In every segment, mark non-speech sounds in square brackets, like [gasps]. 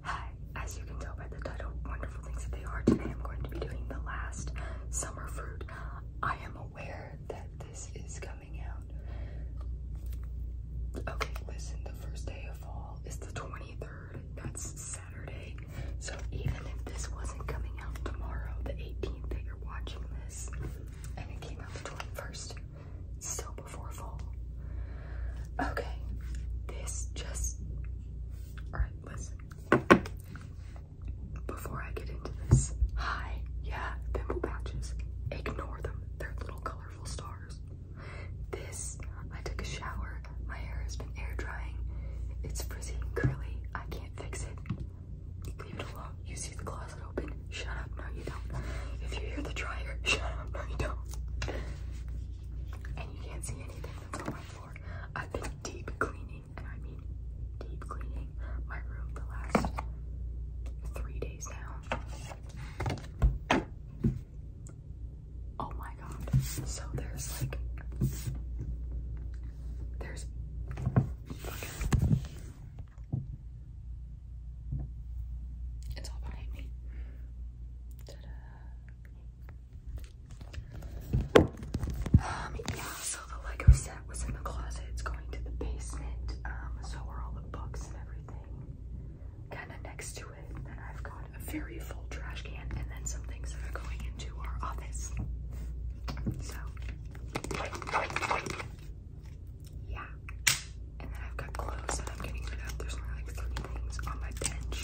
Hi, as you can tell by the title, wonderful things that they are, today I'm going to be doing the last summer fruit. I am aware that this is coming out. Okay, listen, the first day of fall is the 23rd. That's Saturday. So even if this wasn't coming out tomorrow, the 18th that you're watching this, and it came out the 21st, still before fall. Okay, this just. Alright, listen. Before I get into this, hi, yeah, pimple patches. Ignore them, they're little colorful stars. This, I took a shower, my hair has been air drying, it's frizzy and curly, I can't fix it. Leave it alone, you see the closet open, Shut up, no you don't. If you hear the dryer, [laughs] shut up, no you don't. And you can't see anything that's my floor. I've been deep cleaning, and I mean deep cleaning my room the last three days now. Oh my god. So there's like there's it's all behind me. Um, yeah, so the Lego set was in the closet. It's going to the basement. Um, so are all the books and everything kind of next to it. then I've got a very full trash can and then some things are going into our office. So, yeah. And then I've got clothes that I'm getting rid of. There's only like three things on my bench.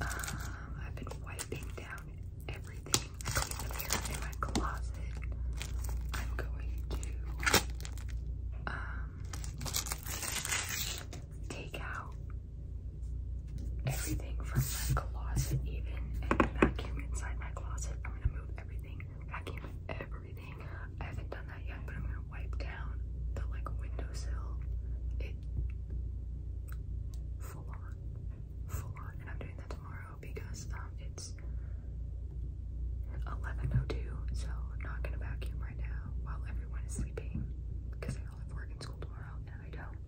Um, I've been wiping down everything. I the mirror in my closet. I'm going to um, take out everything from my closet even vacuum inside my closet. I'm gonna move everything, vacuum everything. I haven't done that yet, but I'm gonna wipe down the like windowsill. It full on, and I'm doing that tomorrow because um it's 11:02, so I'm not gonna vacuum right now while everyone is sleeping because they all have work and school tomorrow, and I don't.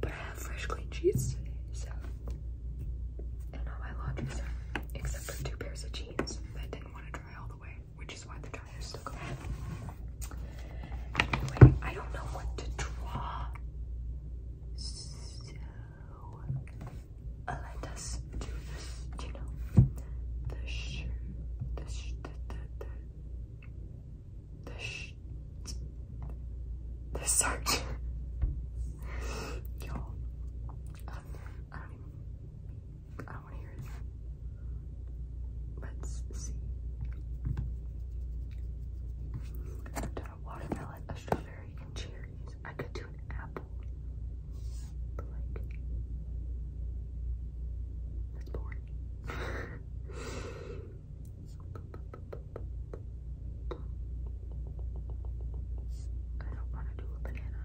But I have fresh clean sheets today, so and all my laundry's done except for two pairs of jeans which is why the tires still go. Anyway, I don't know what to draw. So let us do this, you know, the shirt, the sh the the the, the, sh the search. [laughs] Y'all, um, I don't even. I don't want to hear it. Let's see. I've a watermelon, a strawberry, and cherries. I could do an apple. But like, that's boring. [laughs] I don't want to do a banana.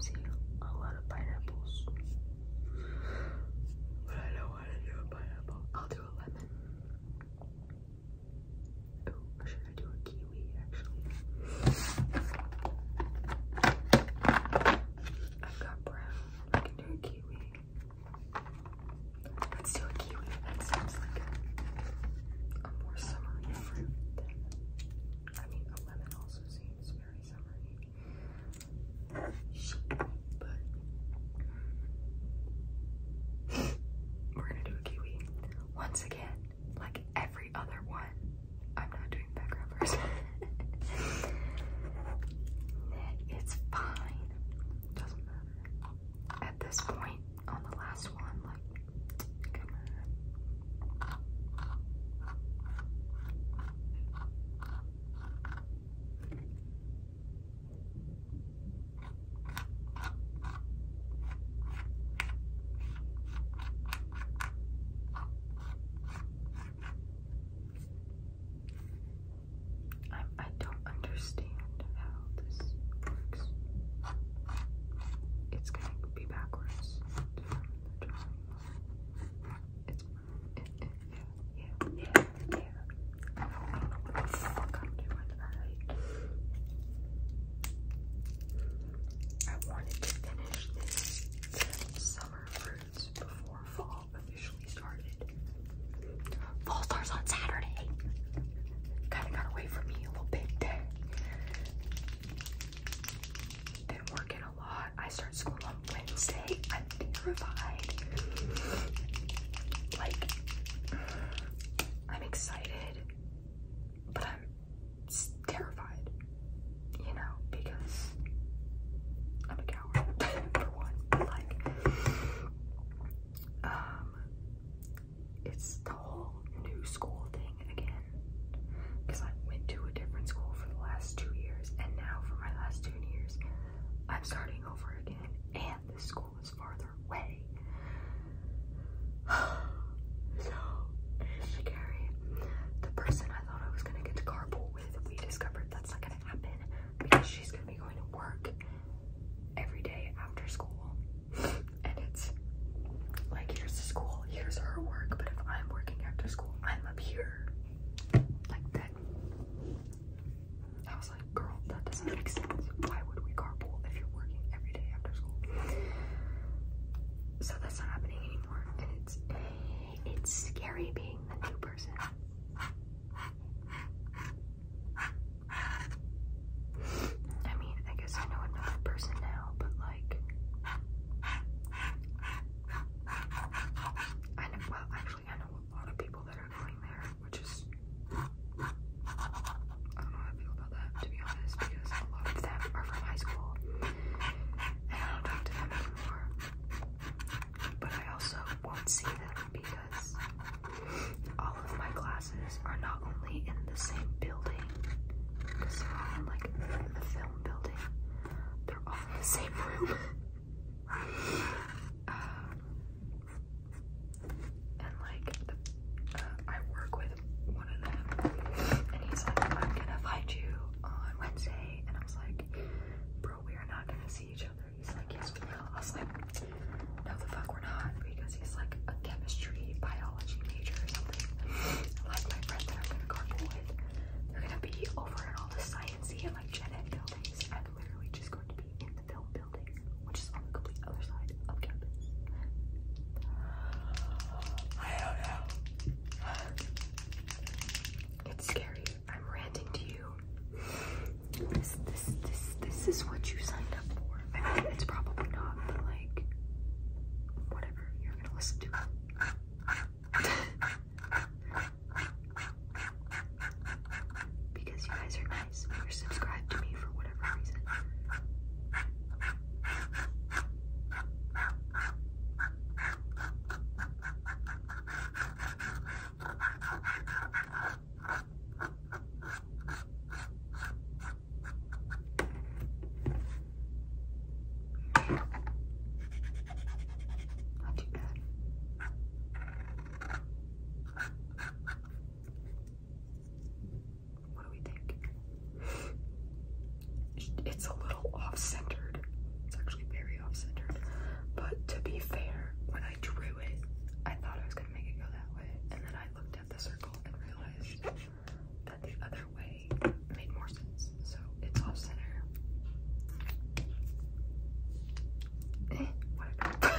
See a lot of pineapples. But I don't want to do a pineapple. I'll do a lemon. Oh, should I do a kiwi actually? I've got brown. I can do a kiwi. Let's do a kiwi. That sounds like a more summery fruit than, I mean, a lemon also seems very summery. But we're gonna do a kiwi. Once again, like every other one, I'm not doing background first. [laughs] it's fine. Doesn't matter. At this point, on the last one, like, come on. I I don't understand it's gonna be backwards It's yeah, yeah, yeah, yeah. I don't I wanted to finish this summer fruits before fall officially started. Fall starts on Saturday kind of got away from me a little bit. Then been working a lot. I start school on Wednesday. I'm terrified. Like I'm excited, but I'm terrified. You know, because I'm a coward [laughs] for one. Like, um, it's the whole new school thing again because I went to a different school for the last two years and now for my last two years I'm starting over again and this school is farther away [sighs] so it's the person I thought I was gonna get to carpool with we discovered that's not gonna happen because she's gonna be going to work every day after school and it's like here's school, here's her work, but if I'm working after school, I'm up here. Like that. I was like, girl, that doesn't make sense. Why would we carpool if you're working every day after school? So that's not happening anymore. And it's it's scary being the new person. I mean, I guess I know another person now, but like, I know, well, actually, I know a lot of people that are going there, which is, I don't know how I feel about that, to be honest, because a lot of them are from high school, and I don't talk to them anymore, but I also won't see them because all of my classes are not only in the same building, because they're all in the film building, they're all in the same room. [laughs] Um, and like, uh, I work with one of them, and he's like, I'm gonna find you on Wednesday. And I was like, Bro, we are not gonna see each other. He's like, Yes, we will. I no the fuck we're not because he's like a chemistry biology major or something [gasps] like my friend that I'm gonna carpool with they're gonna be over in all the sciencey and like gen ed buildings I'm literally just going to be in the film building which is on the complete other side of campus I don't know it's scary I'm ranting to you this this this this is what you signed up for it's probably not, like, whatever, you're gonna listen to because you guys are nice, you're subscribed to me for whatever reason. What do we think? It's a little off-centered. It's actually very off-centered. But to be fair, when I drew it, I thought I was gonna make it go that way, and then I looked at the circle and realized but the other way made more sense. So it's off center. Eh, [laughs]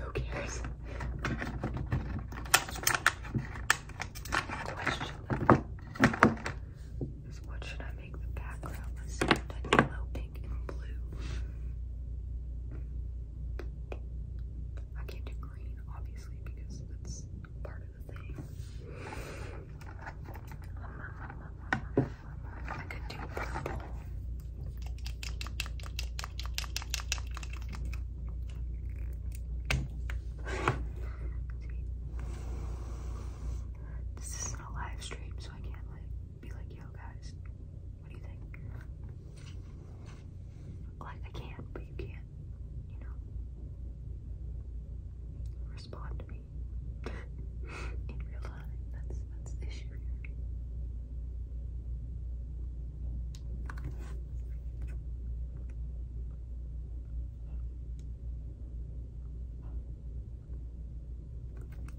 Who cares? Question is what should I make the background? Let's see if yellow, pink, and blue. I can't do obviously, because that's part of the thing. This isn't a live stream, so I can't like be like, yo guys, what do you think? Like, I can, but you can't, you know, respond to me [laughs] in real time. That's, that's the issue here.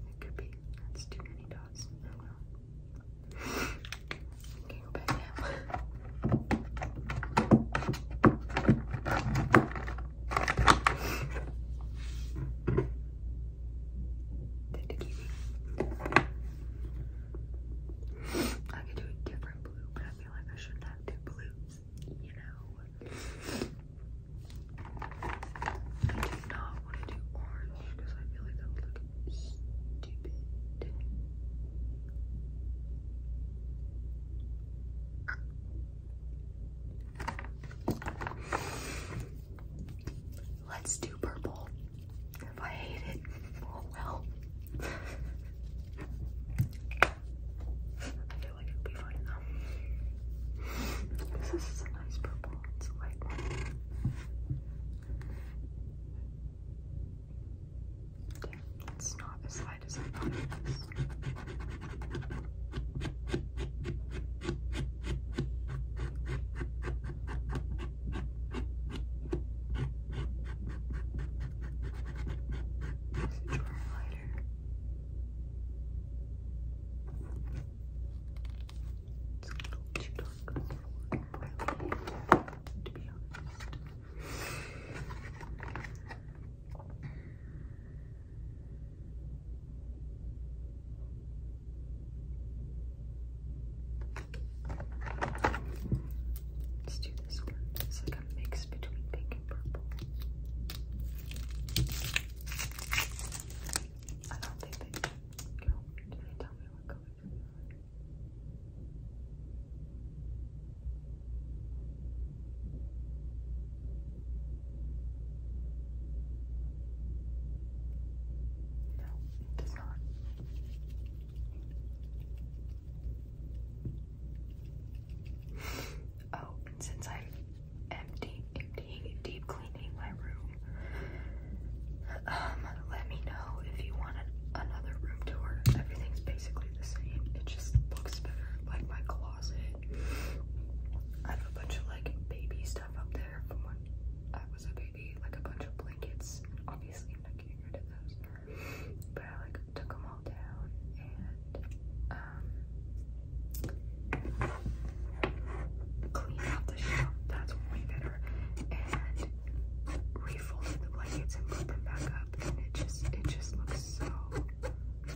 It could be. That's too many dots. Oh, Okay, go I could do a different blue, but I feel like I shouldn't have two blues, you know. I do not want to do orange. Let's do purple. If I hate it, oh well. I feel like it'll be fine though. This is a nice purple. It's a light one it's not as light as I thought it was. Is it lighter? It's a little too dark Let's do this one. It's like a mix between pink and purple. I don't think they, no, did they tell me no, it does not. Oh, since I'm empty, emptying, deep cleaning my room, um, let me know if you want another room tour. Everything's basically the same. It just looks better, like my closet. I have a bunch of like baby stuff up there from when I was a baby, like a bunch of blankets. Obviously, I'm not getting rid of those, but I like took them all down and um, out the shop. That's way better refolded the blankets and put them back up, and it just it just looks so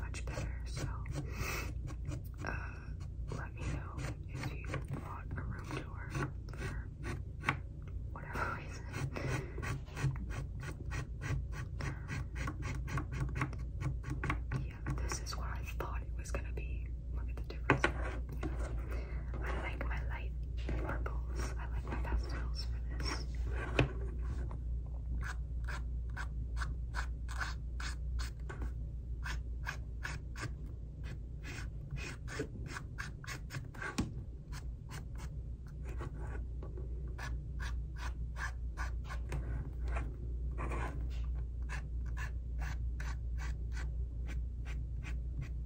much better. So uh, let me know if you want a room tour for whatever [laughs] reason. Yeah, this is what I thought it was gonna be. Look at the difference. I like my light purples. I like my pastels for this.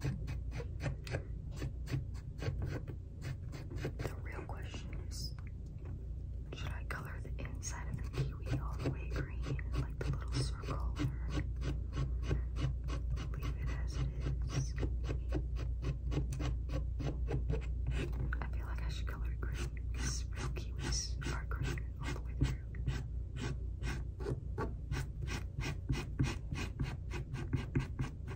The real question is should I color the inside of the kiwi all the way green, like the little circle, or leave it as it is? I feel like I should color it green real kiwis are green all the way through.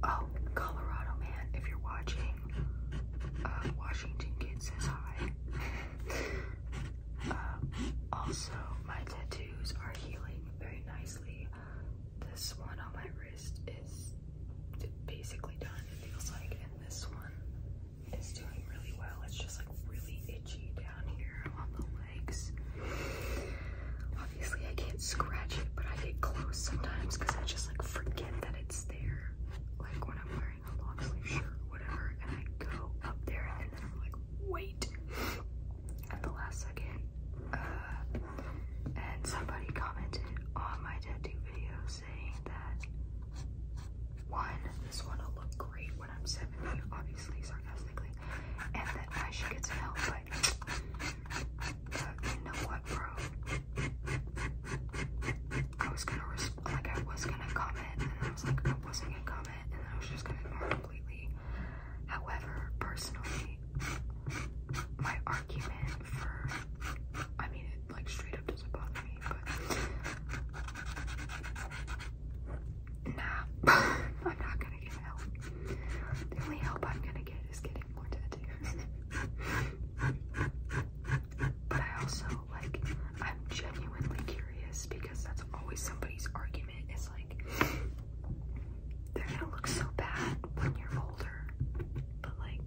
Oh, Colorado man, if you're watching, uh, Washington Kid says hi. also, my tattoos are healing very nicely. Um, this one on my wrist is basically done, it feels like, and this one is doing really well. It's just like really itchy down here on the legs. Obviously, I can't scratch it, but I get close sometimes because I just like forget that it's there. Like when I'm wearing a long sleeve shirt or whatever, and I go up there and then I'm like, wait, at the last second. Uh, and somebody commented on my tattoo video saying that one, this one will look great when I'm 70, obviously sarcastically, and that I should get some help, but you know what, bro? I was gonna like I was gonna comment, and I was like I wasn't gonna comment, and I was just gonna go completely. However, personally, my argument for I mean like straight up doesn't bother me, but nah, [laughs] I'm not gonna get help. The only help I'm gonna get is getting more tattoos. but I also like I'm genuinely curious because that's always somebody's argument It's like they're gonna look so bad when you're older, but like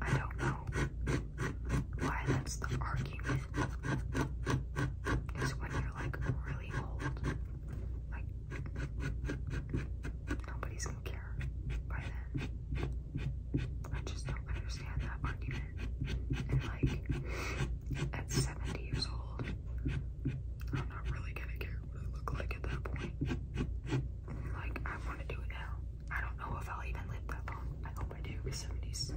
I don't know why that's the argument. Is when you're like really old, like nobody's gonna care by then. I just don't understand that argument. And like at 70 years old, I'm not really gonna care what I look like at that point. Like, I want to do it now. I don't know if I'll even live that long. I hope I do. My 70s.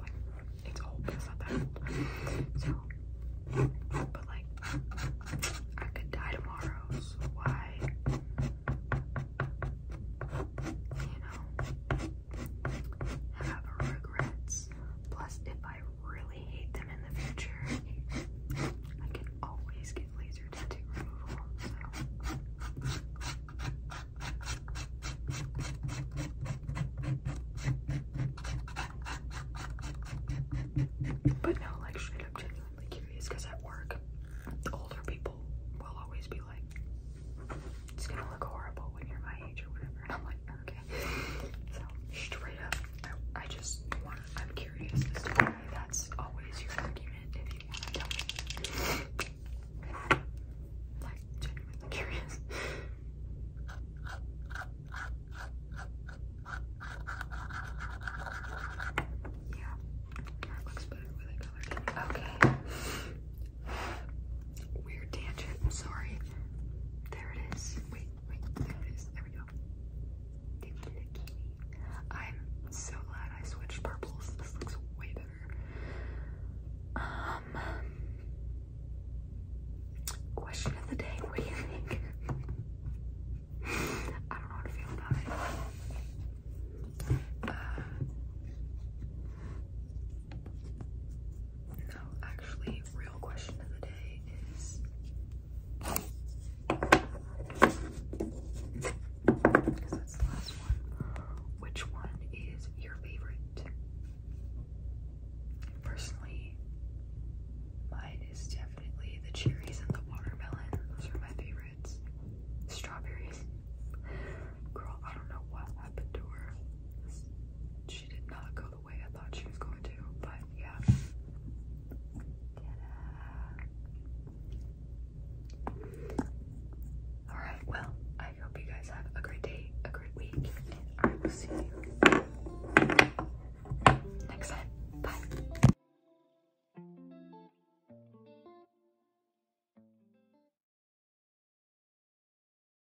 Like, it's old, but not that old. So, but like, I could die tomorrow, so why? You know, have regrets. Plus, if I really hate them in the future, I can always get laser tattoo removal. But no, like straight up genuinely curious at work, older people will always be like, it's gonna look horrible when you're my age or whatever. I'm like, okay. So straight up, I, just I'm curious as to why that's always your argument if you want to tell Like genuinely curious. Yeah, that looks better with a color. Okay. Weird tangent, I'm sorry. There it is. Wait, wait, there it is. There we go. I'm so glad I switched purples. This looks way better. Um Question of the day, what do you think? I don't know how to feel about it. Uh, no, actually, real question of the day is because that's the last one. Which one is your favorite? Personally, mine is definitely the cherries and the watermelon. Those are my favorites. Strawberries. Girl, I don't know what happened to her. She did not go I thought she was going to, but yeah. Alright, well, I hope you guys have a great day, a great week, and I will see you next time. Bye.